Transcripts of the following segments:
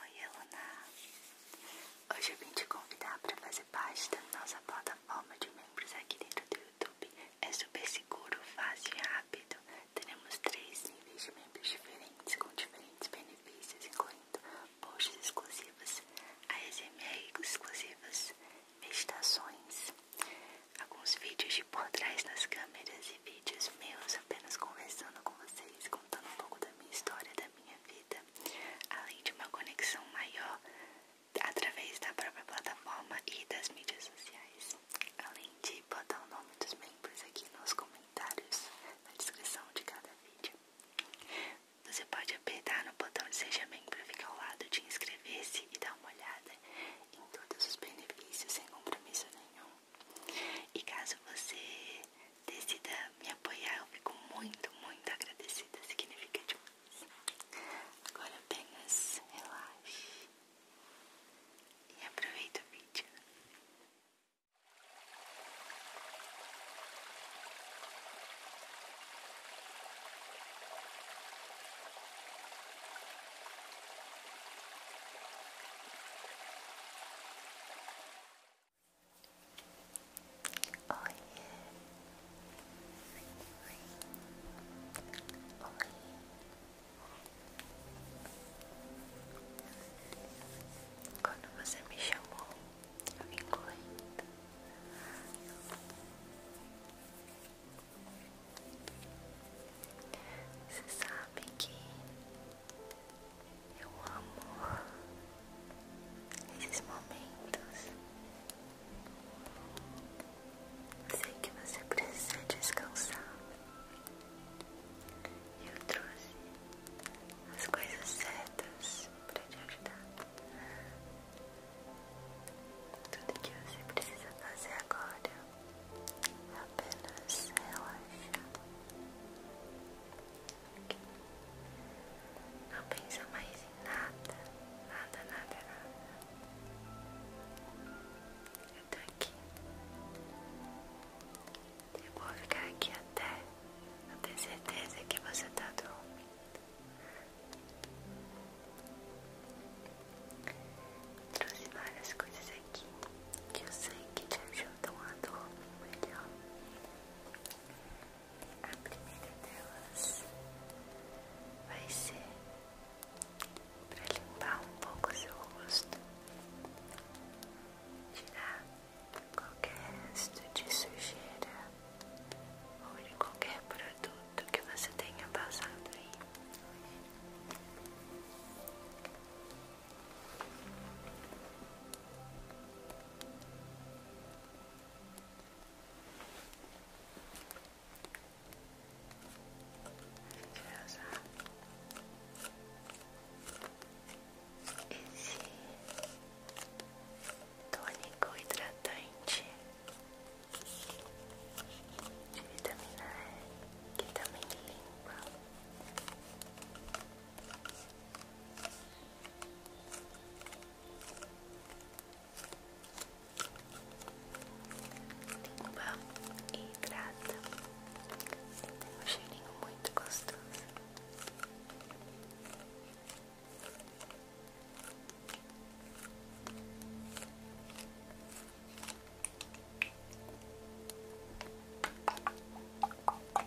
Oi, Eluna! Hoje eu vim te convidar para fazer parte da nossa plataforma de membros aqui dentro do YouTube. É super seguro, fácil e rápido. Teremos três níveis de membros diferentes com diferentes benefícios, incluindo posts exclusivos, ASMR exclusivas, meditações, alguns vídeos de por trás nas câmeras e vídeos meus apenas conversando com vocês, contando um pouco da minha história, da minha vida, além de uma conexão maior através da própria plataforma e das mídias sociais. Além de botar o nome dos membros aqui nos comentários, na descrição de cada vídeo. Você pode apertar no botão de Seja Membro, fica ao lado de inscrever-se e dar uma olhada em todos os benefícios sem compromisso nenhum. E caso você decida me apoiar, eu fico muito, muito agradecida. Significa demais. Agora apenas relaxe e aproveita o vídeo. Quando você me chamou, eu vim correndo. Você sabe que eu amo esses momentos. Sei que você precisa descansar. Eu trouxe as coisas certas para te ajudar. Tudo que você precisa fazer agora é apenas relaxar. Não pensa mais em nada, nada, nada, nada. Eu tô aqui. Eu vou ficar aqui até eu ter certeza que você tá dormindo. Trouxe várias coisas aqui que eu sei que te ajudam a dormir melhor. A primeira delas vai ser para limpar um pouco seu rosto, tirar qualquer resto de sujeira ou de qualquer produto que você tenha passado aí. Deixa esse tônico hidratante de vitamina E que também limpa Limpa e hidrata. Tem um cheirinho muito gostoso.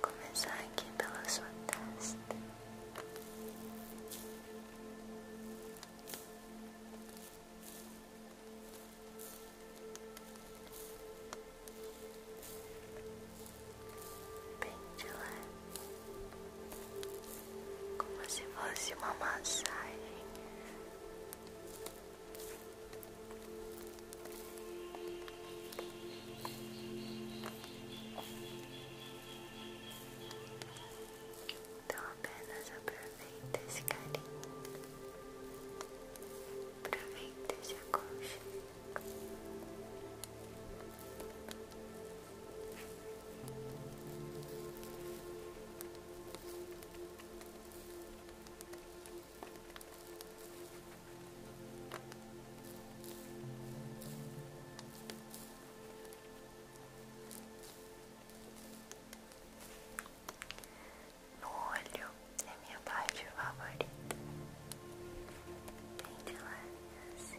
Começar aqui pela sua testa. Bem de leve, como se fosse uma massagem então apenas aproveita esse carinho, aproveita esse aconchego. No olho é minha parte favorita. Bem de lá, assim.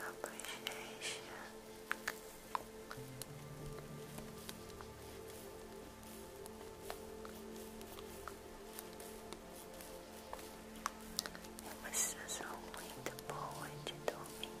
A bochecha é uma sensação muito boa de dormir.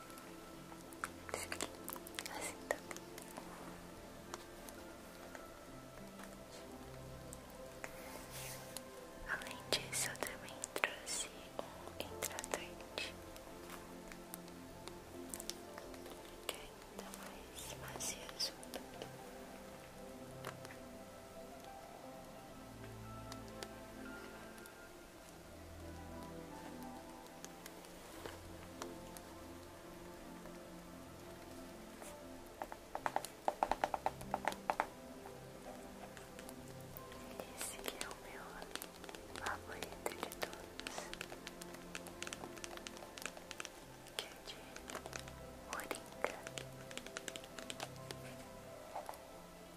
Além disso, eu também trouxe um hidratante que é ainda mais macioso. Esse que é o meu favorito de todos, que é de moringa.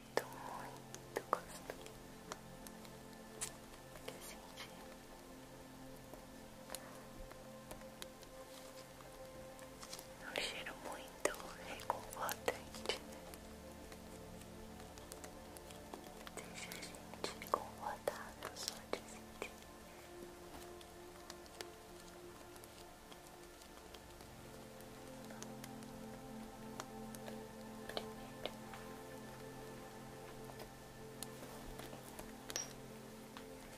muito, muito gostoso que eu é Um cheiro muito reconfortante. Deixa a gente confortável só de sentir primeiro.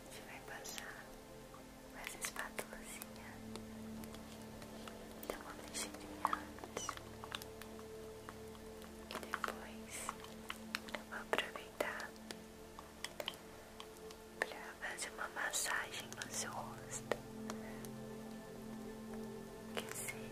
Você vai passar com essa então Dá mexer mexidinha antes. E depois eu vou aproveitar para fazer uma massagem no seu rosto. Que se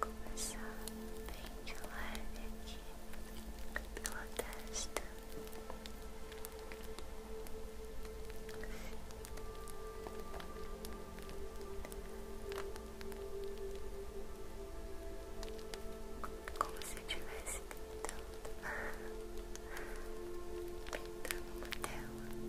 Começar bem de leve aqui pela testa. Como se eu estivesse pintando, pintando uma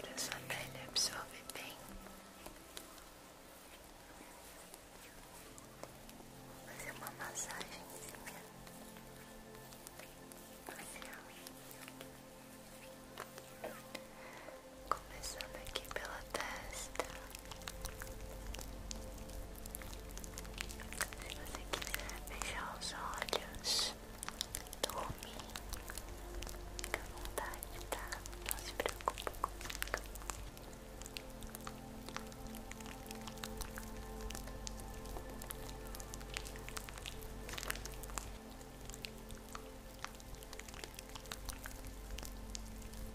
Para sua pele absorve bem fazer uma massagenzinha facial começando aqui pela testa se você quiser fechar os olhos, dormir, fica à vontade, tá? Não se preocupe comigo.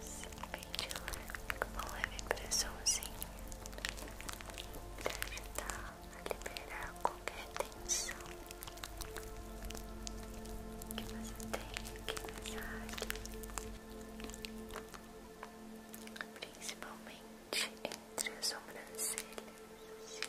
se ventilar com leve pressãozinha para ajudar a liberar qualquer tensão que você tem aqui nessa área, principalmente entre as sobrancelhas. Assim.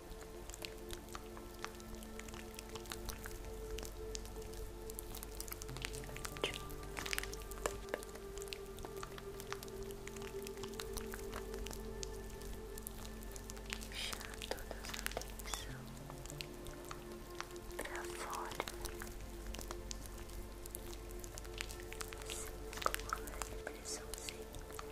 Deixar toda a atenção pra fora, assim como pressãozinha.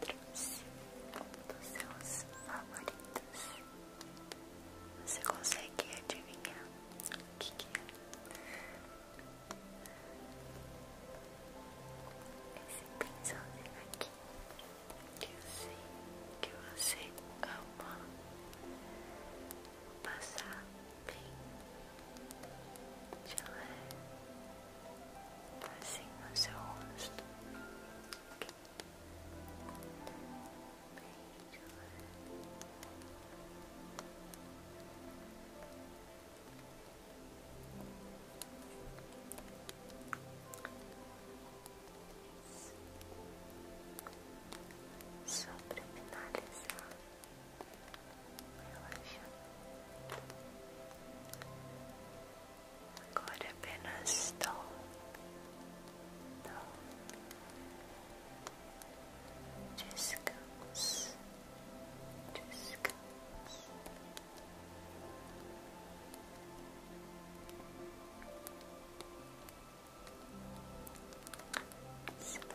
trouxe dos seus favoritos. Você consegue adivinhar o que, é? Esse pincelzinho aqui que eu sei que você ama passar bem gelé assim no seu rosto. Só para finalizar, Agora apenas tom, tom, descanso, descanso. Descanso.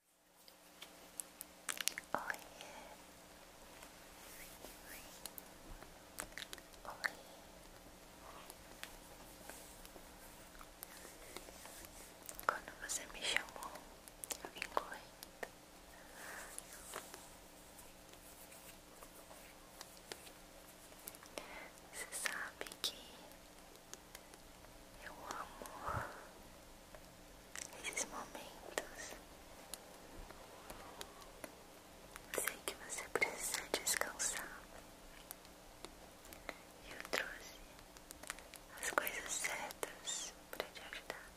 Oiê. Oiê. Quando você me chamou, eu vim correndo. Você sabe que eu amo esses momentos. Sei que você precisa descansar. Eu trouxe as coisas certas para te ajudar.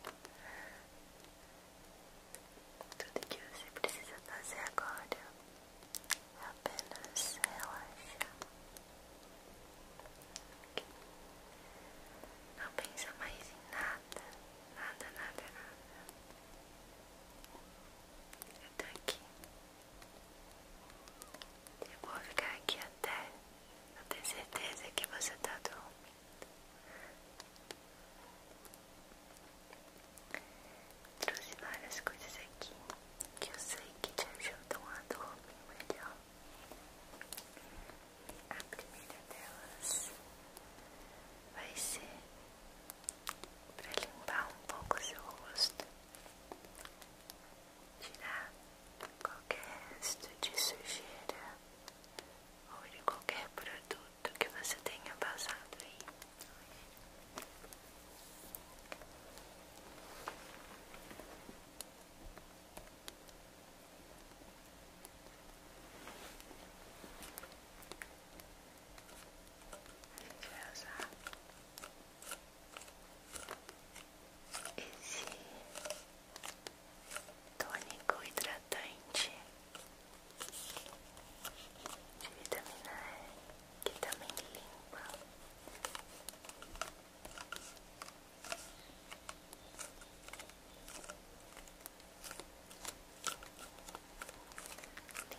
Tudo que você precisa fazer agora é apenas relaxar. Não pensa mais em nada, nada, nada, nada. Eu tô aqui. Eu vou ficar aqui até eu ter certeza que você tá dormindo. Trouxe várias coisas aqui que eu sei que te ajudam a dormir melhor. A primeira delas vai ser para limpar um pouco seu rosto, tirar qualquer resto de sujeira ou de qualquer produto que você tenha passado aí. A gente vai usar esse tônico hidratante de vitamina E que também limpa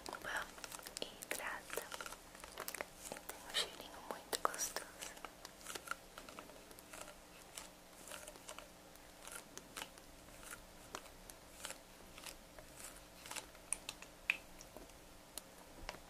Limpa e hidrata e então, tem um cheirinho muito gostoso.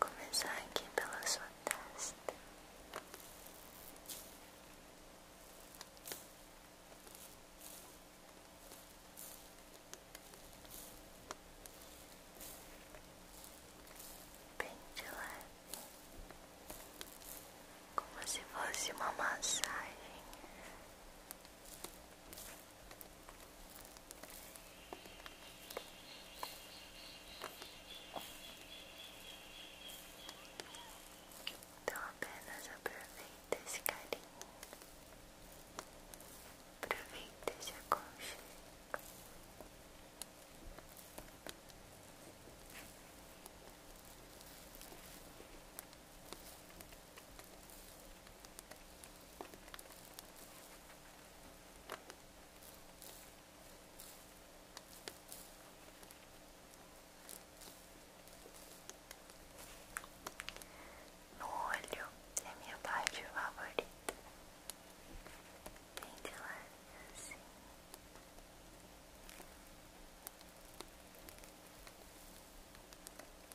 Começar aqui pela sua testa. Bem de leve, como se fosse uma massagem então apenas aproveita esse carinho, aproveita esse aconchego. No olho é a minha parte favorita. Vem de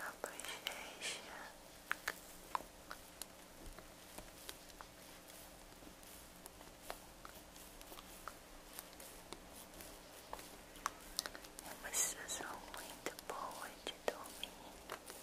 A bochecha é uma muito boa de dormir.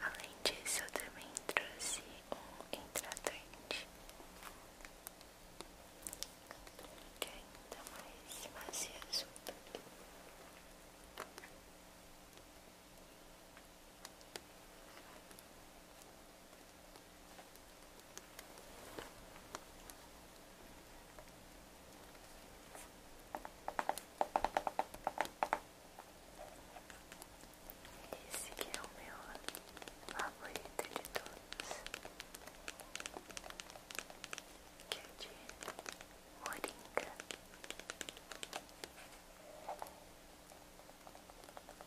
Além disso, eu também trouxe um hidratante que é ainda mais macio. Vou esse que é o meu favorito de todos, que é de moringa.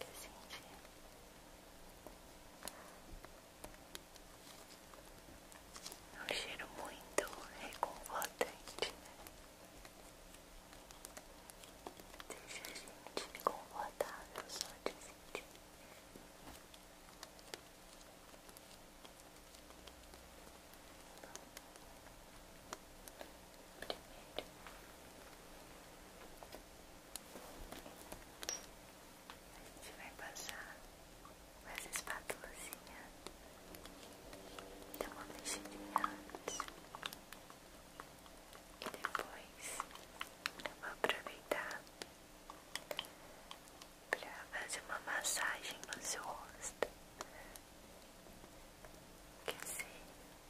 que sentir. É um cheiro muito reconfortante, né? Deixa a gente confortável só de sentir. Primeiro, a gente vai passar com essa espátulazinha. Dá uma mexidinha antes. E depois eu vou aproveitar para fazer uma massagem no seu rosto. Quer dizer,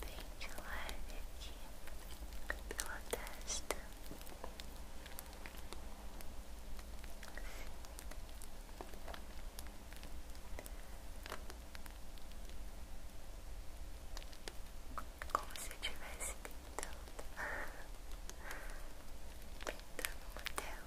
bem de leve aqui pela testa. Como se estivesse pintando pintando modelo.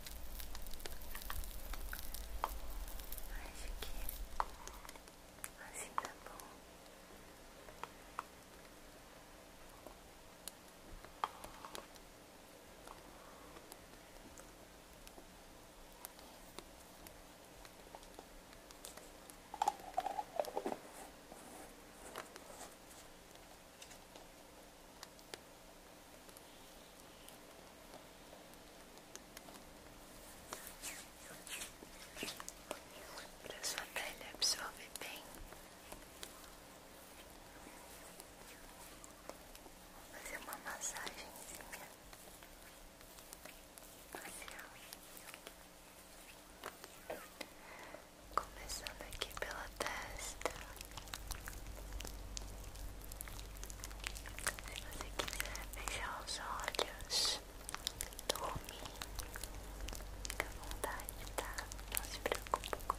Acho que assim tá bom. Acho para sua pele absorver bem. Vou fazer uma massagemzinha, Começando aqui pela testa. Se você quiser fechar os olhos, dorme, fica à vontade, tá? Não se preocupe comigo.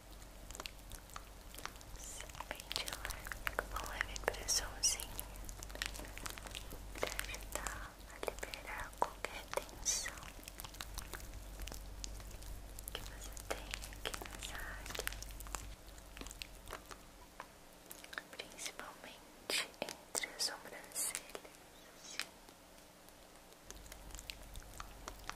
se ventilar levar leve pressãozinha para ajudar a liberar qualquer tensão que você tenha aqui nessa área, principalmente entre as sobrancelhas. Assim.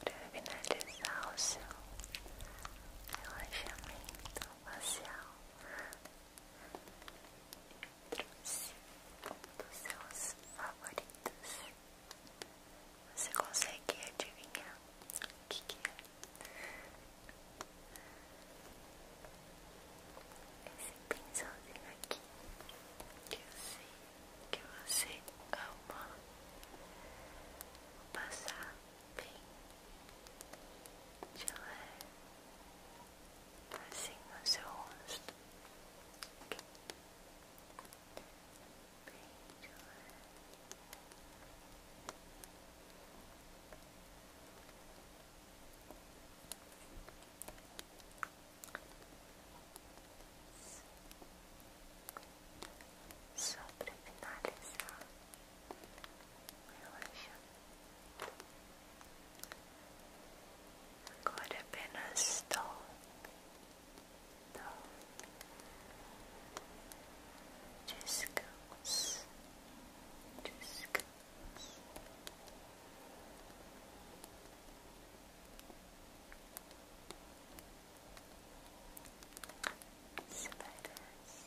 para finalizar o seu relaxamento facial Trouxe um dos seus favoritos. Você consegue adivinhar o que, é? Esse pincelzinho aqui que eu sei que você ama. Vou passar bem gelé assim no seu rosto. Só para finalizar, relaxando Could have been a stone. Just goes. Just goes. Spiders.